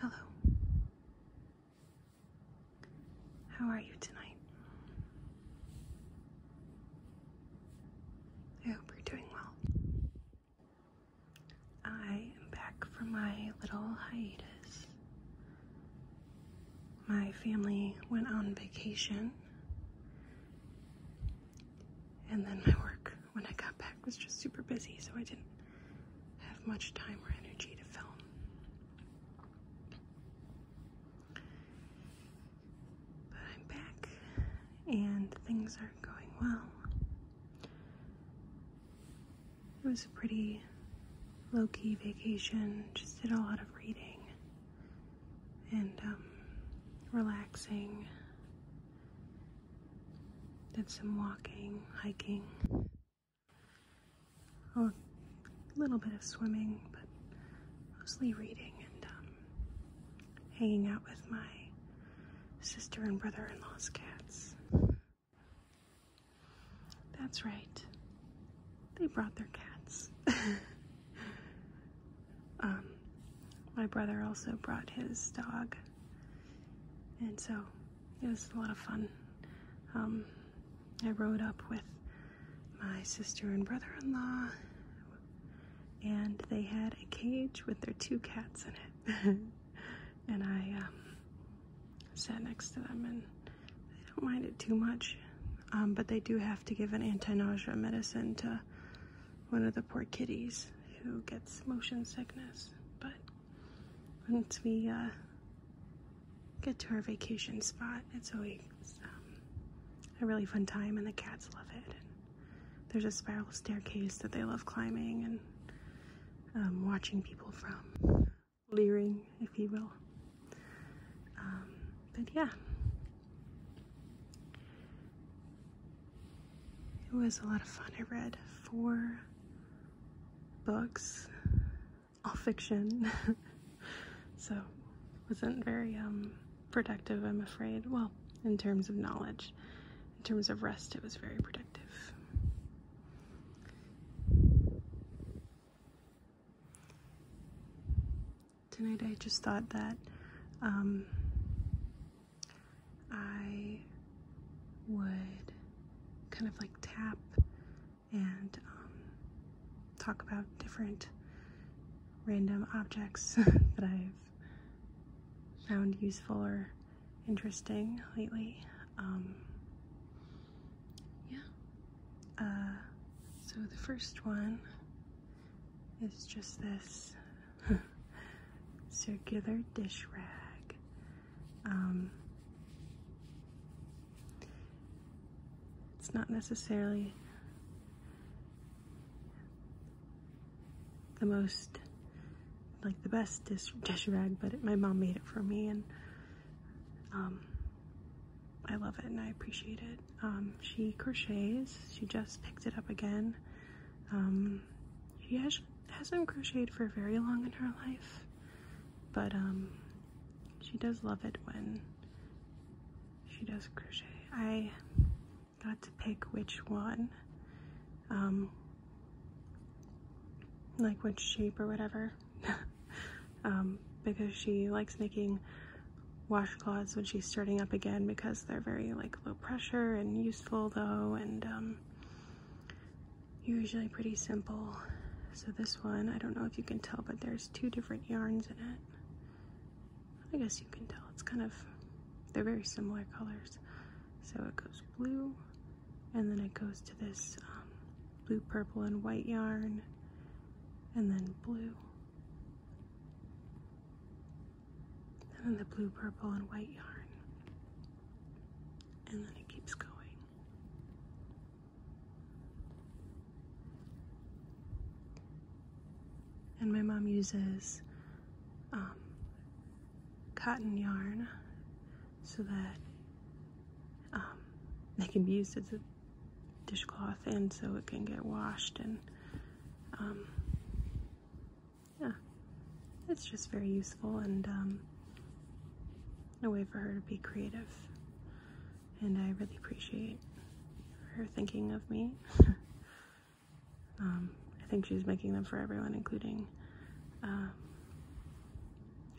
Hello. How are you tonight? I hope you're doing well. I am back from my little hiatus. My family went on vacation, and then my work when I got back was just super busy, so I didn't have much time or energy to film. But I'm back, and things are going well. It was a pretty low-key vacation. Just did a lot of reading and um, relaxing. Did some walking, hiking. a little bit of swimming, but mostly reading and um, hanging out with my sister and brother-in-law's cats. That's right. They brought their cats. Um, my brother also brought his dog. And so it was a lot of fun. Um, I rode up with my sister and brother in law, and they had a cage with their two cats in it. and I um, sat next to them, and they don't mind it too much. Um, but they do have to give an anti-nausea medicine to one of the poor kitties who gets motion sickness. But once we uh, get to our vacation spot, it's always um, a really fun time, and the cats love it. there's a spiral staircase that they love climbing and watching people from leering, if you will. Um, but yeah, it was a lot of fun. I read four books, all fiction, so wasn't very um, productive, I'm afraid. Well, in terms of knowledge, in terms of rest, it was very productive. Tonight I just thought that um, I would kind of like tap and um, talk about different random objects that I've found useful or interesting lately. Um, yeah. Uh, so the first one is just this circular dish rag. Um, it's not necessarily the most like the best dish, dish rag, but my mom made it for me and um, I love it and I appreciate it. Um, she crochets. She just picked it up again. Um, she has, hasn't crocheted for very long in her life, but um, she does love it when she does crochet. I got to pick which one. Um, like what shape or whatever um, because she likes making washcloths when she's starting up again because they're very like low pressure and useful though and um, usually pretty simple so this one I don't know if you can tell but there's two different yarns in it I guess you can tell it's kind of they're very similar colors so it goes blue and then it goes to this um, blue, purple, and white yarn, and then blue, and then the blue, purple, and white yarn, and then it keeps going. And my mom uses um, cotton yarn so that um, they can be used as a dishcloth and so it can get washed and um, yeah it's just very useful and um, a way for her to be creative and I really appreciate her thinking of me I think she's making them for everyone including uh,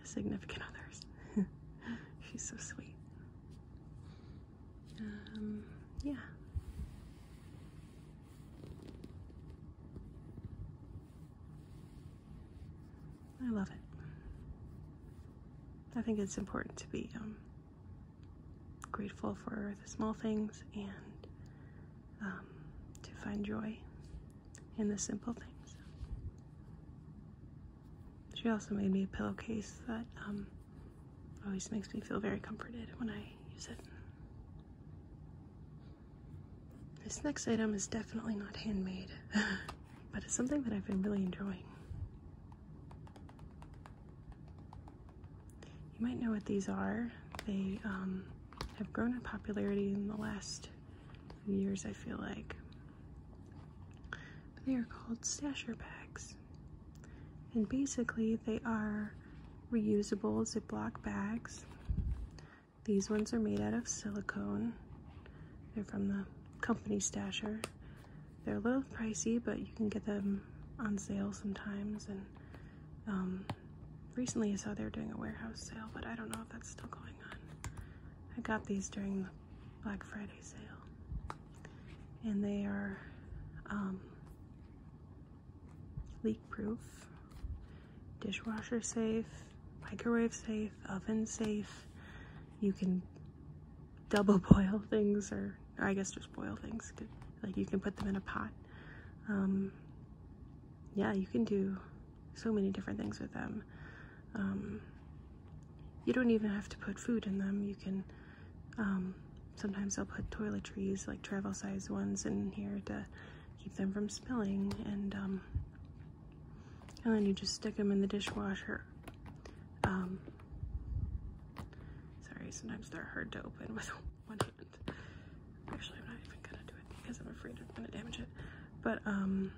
significant others. She's so sweet. Um, yeah. I love it. I think it's important to be um, grateful for the small things and um, to find joy and the simple things. She also made me a pillowcase that um, always makes me feel very comforted when I use it. This next item is definitely not handmade, but it's something that I've been really enjoying. You might know what these are. They um, have grown in popularity in the last years, I feel like. they are called stasher bags. And basically, they are reusable Ziploc bags. These ones are made out of silicone. They're from the company Stasher. They're a little pricey, but you can get them on sale sometimes. And um, recently I saw they were doing a warehouse sale, but I don't know if that's still going I got these during the Black Friday sale, and they are um, leak proof, dishwasher safe, microwave safe, oven safe. You can double boil things, or, or I guess just boil things. Like you can put them in a pot. Um, yeah, you can do so many different things with them. Um, you don't even have to put food in them. You can, um, sometimes I'll put toiletries, like travel size ones in here to keep them from spilling. And, um, and then you just stick them in the dishwasher. sorry, sometimes they're hard to open with one hand. Actually, I'm not even gonna do because I'm afraid I'm gonna damage it. But um,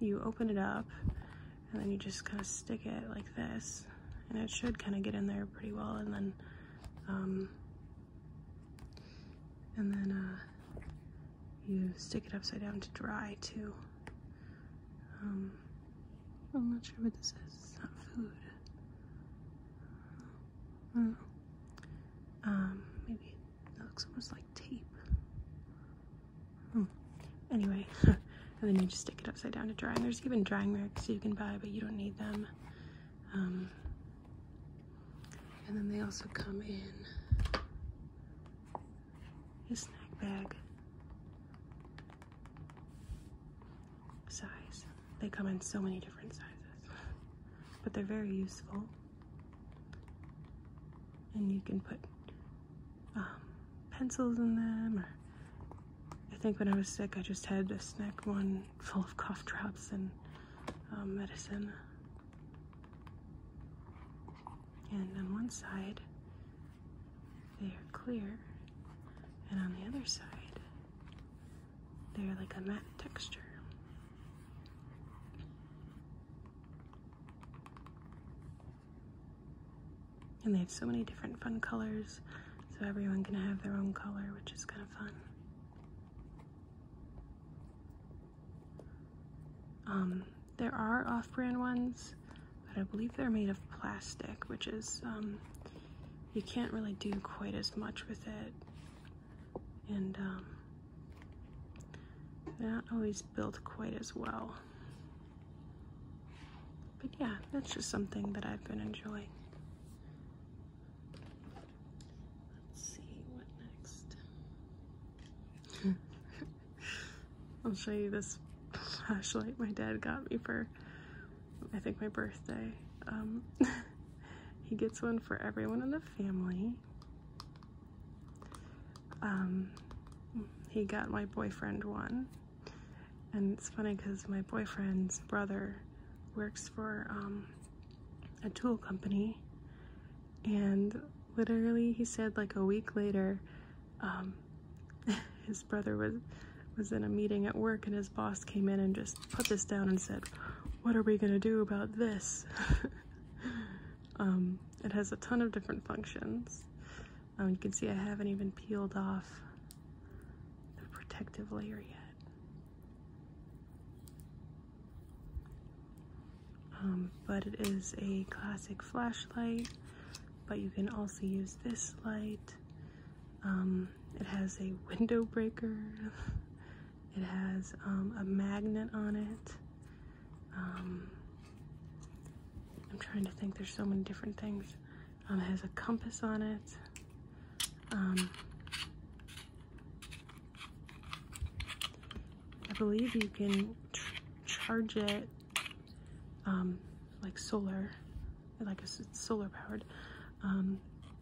you open it up and then you just kind of stick it like this and it should kind of get in there pretty well and then um, and then uh, you stick it upside down to dry too. Um, I'm not sure what this is. It's not food. maybe that looks almost like tape. Hmm. Anyway, and then you just stick it upside down to dry. And there's even drying racks you can buy, but you don't need them. Um, and then they also come in a snack bag size. They come in so many different sizes, but they're very useful and you can put um, pencils in them or I think when I was sick I just had a snack one full of cough drops and um, medicine and on one side they are clear and on the other side they're like a matte texture and they have so many different fun colors, so everyone can have their own color, which is kind of fun. Um, there are off-brand ones, but I believe they're made of plastic, which is, um, you can't really do quite as much with it and um, not always built quite as well. But yeah, that's just something that I've been enjoying. Let's see what next. I'll show you this flashlight my dad got me for, I think, my birthday. Um, he gets one for everyone in the family. Um, he got my boyfriend one. And it's funny because my boyfriend's brother works for um, a tool company. And literally, he said like a week later, um, his brother was was in a meeting at work and his boss came in and just put this down and said, what are we gonna do about this? Um, it has a ton of different functions. Um, you can see I haven't even peeled off the protective layer yet. Um, but it is a classic flashlight, but you can also use this light. it has a window breaker It has um, a magnet on it. Um, I'm trying to think, there's so many different things. Um, it has a compass on it. I believe you can charge it like solar, like a, solar powered.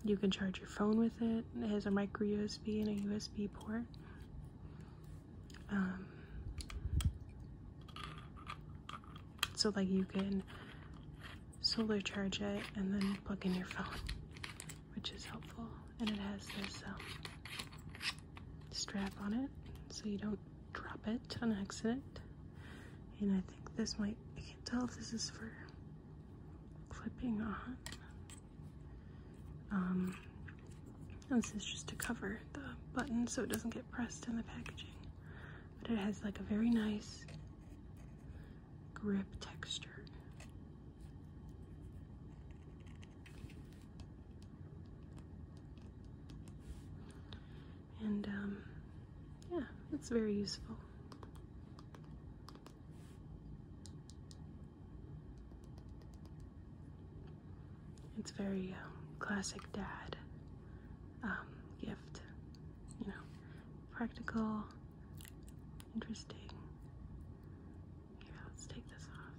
you can charge your phone with it. It has a micro USB and a USB port. Um, so, like, you can solar charge it and then plug in your phone, which is helpful. And it has this um, strap on it so you don't drop it on accident. And I think this might, I can't tell if this is for clipping on. Um, this is just to cover the button so it doesn't get pressed in the packaging. But it has like a very nice grip texture. And um, yeah, it's very useful. It's very um, classic dad um, gift, you know, practical, interesting. Here, let's take this off.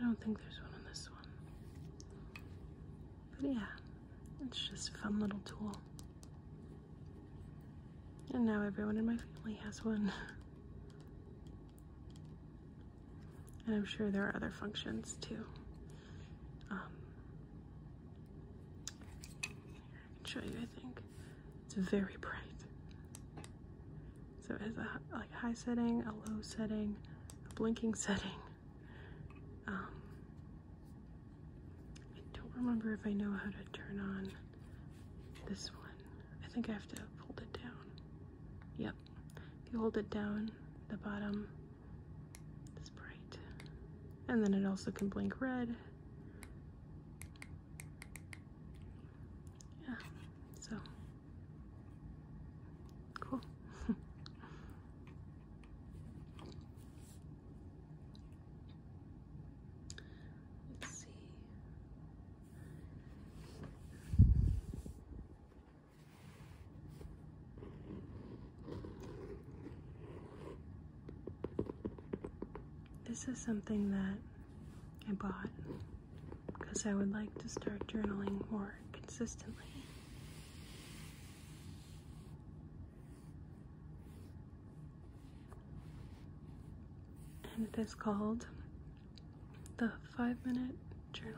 I don't think there's one on this one. But yeah, it's just a fun little tool. And now everyone in my family has one. And I'm sure there are other functions too. Um, I can show you, I think. It's very bright. So it has a like high setting, a low setting, a blinking setting. Um, I don't remember if I know how to turn on this one. I think I have to pull it down. Yep. If you hold it down, the bottom It's bright. And then it also can blink red. Yeah, so cool. Let's see. This is something that I bought because I would like to start journaling more consistently. And it is called the five minute journal.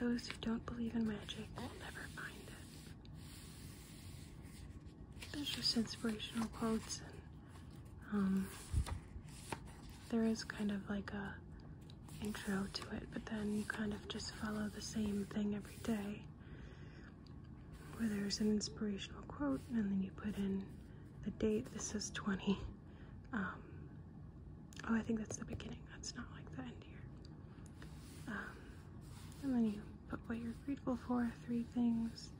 Those who don't believe in magic will never find it. There's just inspirational quotes and um, there is kind of like a intro to it, but then you kind of just follow the same thing every day where there's an inspirational quote and then you put in the date. This is 20. Um, oh, I think that's the beginning. That's not like the end here. Um, and then you put what you're grateful for, three things,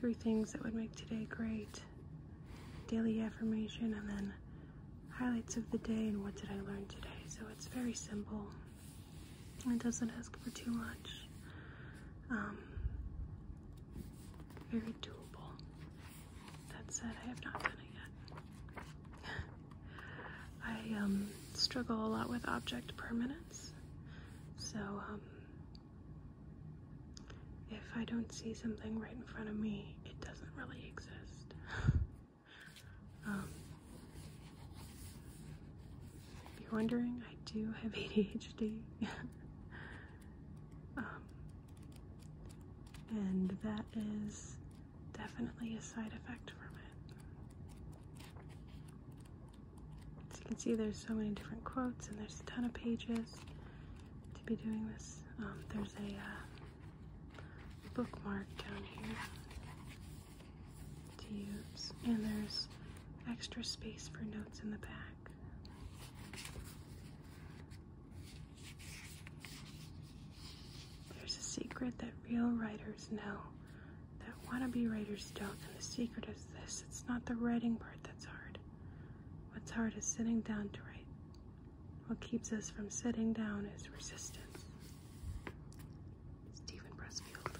three things that would make today great, daily affirmation, and then highlights of the day and what did I learn today. So it's very simple. It doesn't ask for too much. Um, very doable. That said, I have not done it yet. I um, struggle a lot with object permanence. So um, if I don't see something right in front of me, it doesn't really exist. Um, if you're wondering, I do have ADHD. Um, and that is definitely a side effect from it. As you can see, there's so many different quotes, and there's a ton of pages to be doing this. Um, there's a uh, bookmark down here to use. And there's extra space for notes in the back. There's a secret that real writers know that wannabe writers don't. And the secret is this it's not the writing part that's hard. What's hard is sitting down to write. What keeps us from sitting down is resistance. Stephen Pressfield.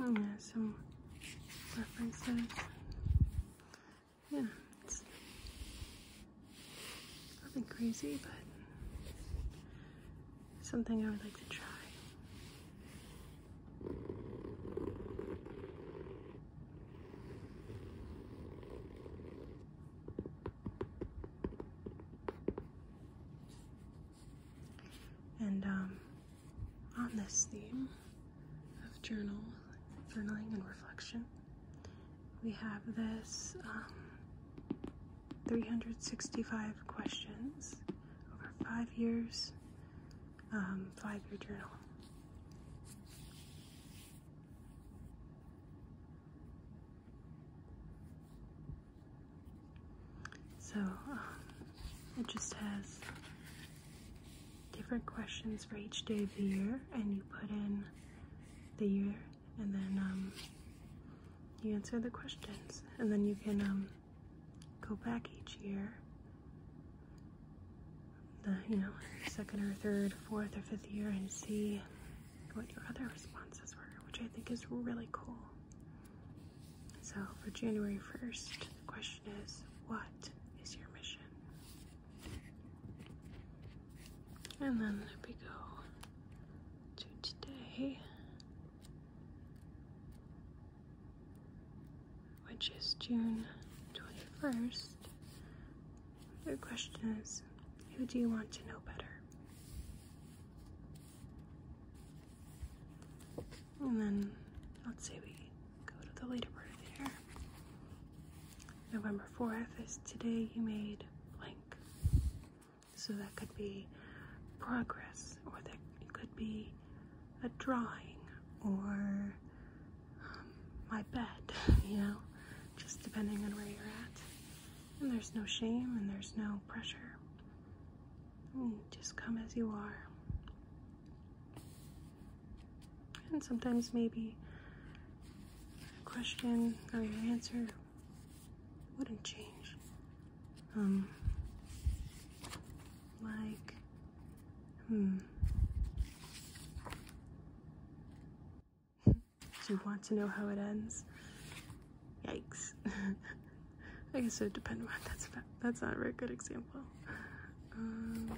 Oh, and some references. Yeah, nothing crazy, but something I would like to try. And um, on this theme of journaling and reflection, we have this um, 365 questions over five years, um, five year journal. So, um, it just has different questions for each day of the year, and you put in the year, and then um, you answer the questions, and then you can um, go back each year the, you know, second or third, fourth or fifth year and see what your other responses were, which I think is really cool. So for January 1st, the question is, what is your mission? And then we go to today, which is June 21st, the question is who do you want to know better? And then let's say we go to the later part of the year. November 4th is today you made blank. So that could be progress, or that could be a drawing, or my bed, you know, just depending on where you're at. And there's no shame and there's no pressure. just come as you are. And sometimes maybe a question or your answer wouldn't change. Um, like, Hmm. Do you want to know how it ends? Yikes. I guess it would depend on that's about. That's not a very good example. Um,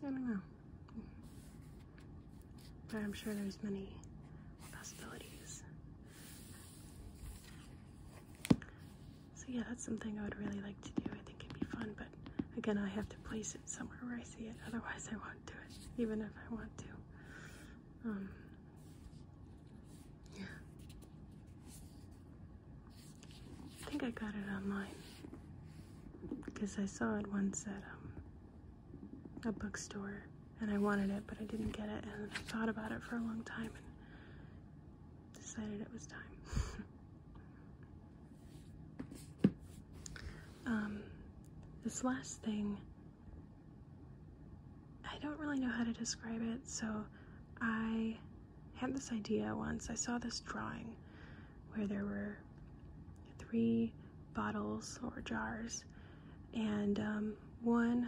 I don't know. But I'm sure there's many possibilities. So yeah, that's something I would really like to do. I think it'd be fun, but again, I have to place it somewhere where I see it. Otherwise, I won't do it, even if I want to. Um, yeah. I think I got it online because I saw it once at um, a bookstore and I wanted it, but I didn't get it. And I thought about it for a long time and decided it was time. Um, this last thing, I don't really know how to describe it, so I had this idea once. I saw this drawing where there were three bottles or jars and um, one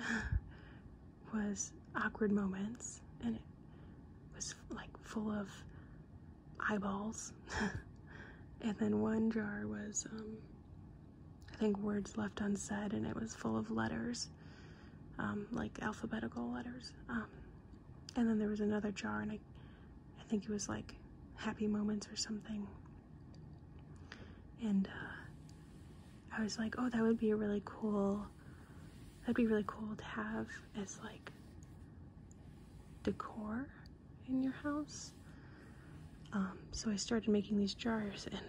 was awkward moments, and it was like full of eyeballs, and then one jar was, um, I think, words left unsaid, and it was full of letters, um, like alphabetical letters. and then there was another jar, and I, I think it was like happy moments or something and uh, I was like, oh, that would be a really cool, that'd be really cool to have as like decor in your house. Um, so I started making these jars and,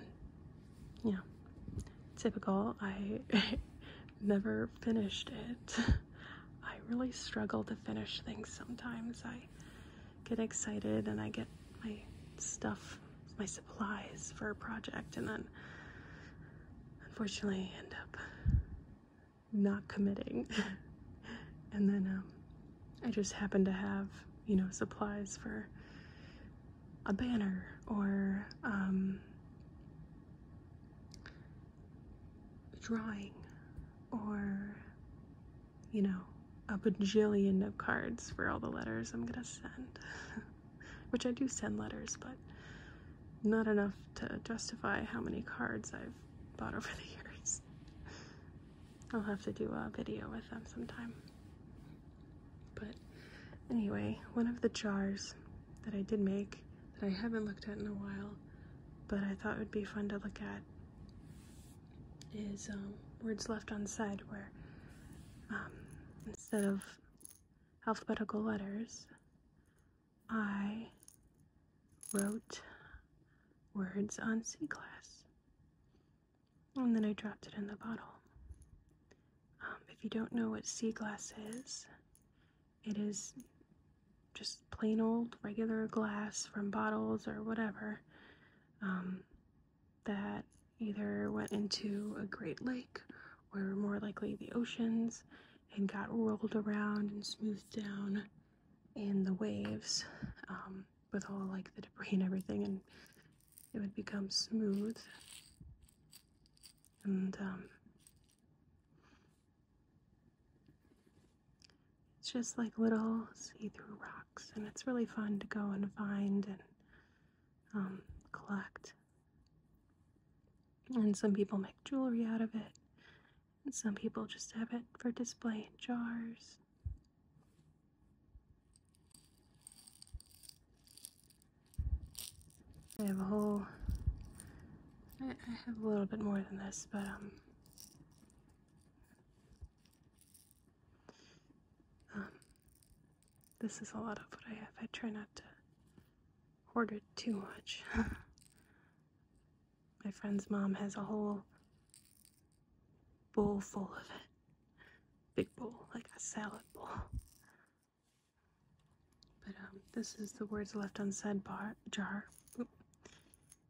you know, typical, I never finished it. I really struggle to finish things sometimes. I get excited and I get my stuff, my supplies for a project, and then unfortunately end up not committing. and then um, I just happen to have, you know, supplies for a banner or a um, drawing or you know, a bajillion of cards for all the letters I'm gonna send. Which I do send letters, but not enough to justify how many cards I've bought over the years. I'll have to do a video with them sometime. But anyway, one of the jars that I did make that I haven't looked at in a while, but I thought would be fun to look at is um, words left on the side where um, instead of alphabetical letters, I wrote words on C glass, And then I dropped it in the bottle. Um, if you don't know what sea glass is, it is just plain old regular glass from bottles or whatever that either went into a great lake or more likely the oceans and got rolled around and smoothed down in the waves um, with all like the debris and everything and it would become smooth and um, it's just like little see-through rocks and it's really fun to go and find and um, collect. And some people make jewelry out of it, and some people just have it for display in jars. I have a whole, I have a little bit more than this, but um, this is a lot of what I have. I try not to hoard it too much. My friend's mom has a whole bowl full of it. Big bowl, like a salad bowl. But um, this is the words left unsaid bar jar.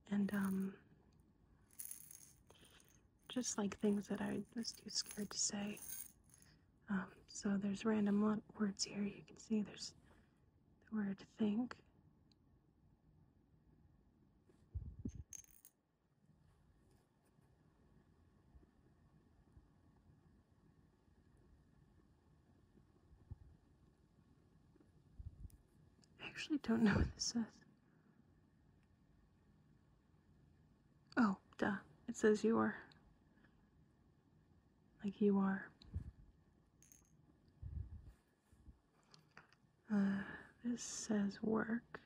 And um, just like things that I was too scared to say. Um, so there's random words here. You can see there's the word think. I actually don't know what this says. Oh, duh. It says you are. Like you are. Uh, this says work.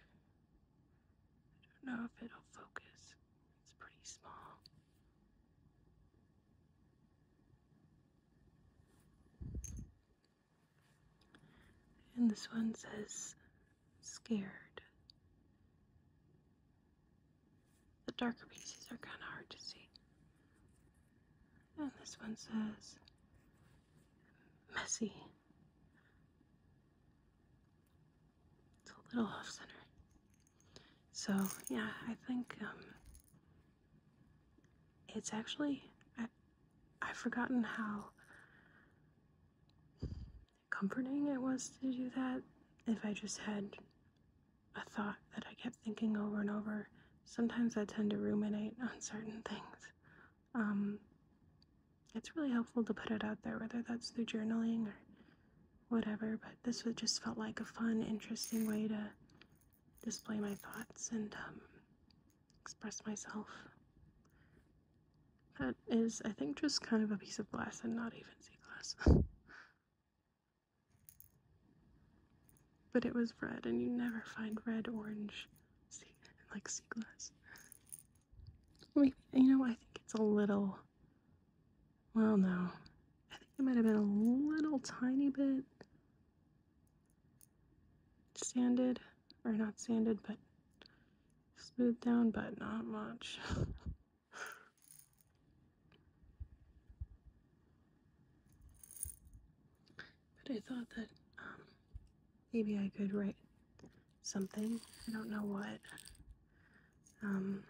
I don't know if it'll focus. It's pretty small. And this one says scared. The darker pieces are kind of hard to see. And this one says messy. It's a little off center. So, yeah, I think um, it's actually, I, I've forgotten how comforting it was to do that if I just had a thought that I kept thinking over and over. Sometimes I tend to ruminate on certain things. Um, it's really helpful to put it out there, whether that's through journaling or whatever, but this just felt like a fun, interesting way to display my thoughts and um, express myself. That is, I think, just kind of a piece of glass and not even sea glass. but it was red, and you never find red, orange, sea, like sea glass. you know, I think it's a little. Well, no. I think it might have been a little tiny bit sanded, or not sanded, but Smoothed down, but not much. but I thought that um, maybe I could write something. I don't know what. Um,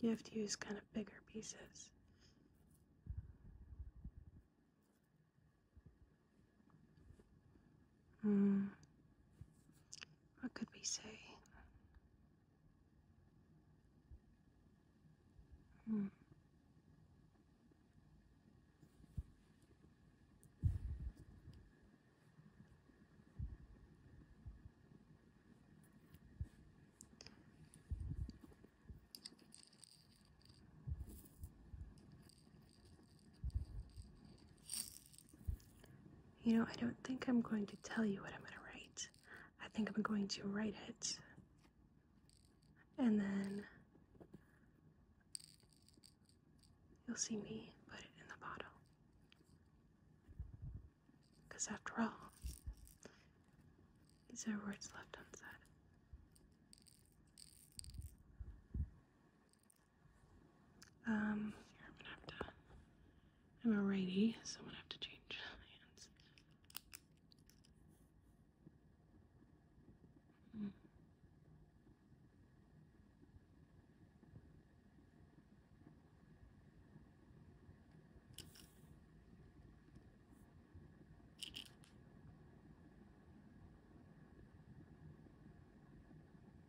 you have to use kind of bigger pieces. Hmm. What could we say? Hmm. You know, I don't think I'm going to tell you what I'm going to write. I think I'm going to write it. And then you'll see me put it in the bottle. Because after all, these are words left unsaid. Um, I'm going a righty, so I'm gonna have to change hands.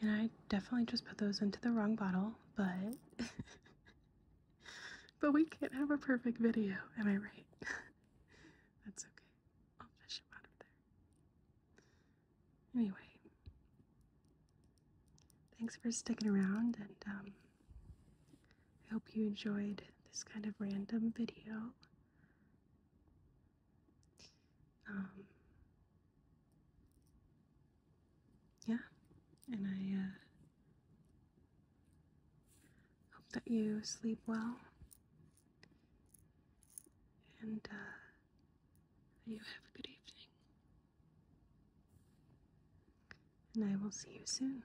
And I definitely just put those into the wrong bottle, but but we can't have a perfect video, am I right? That's okay. I'll fish them out of there. Anyway, thanks for sticking around, and um, I hope you enjoyed this kind of random video. Um, yeah, and I uh, hope that you sleep well and uh, you have a good evening. And I will see you soon.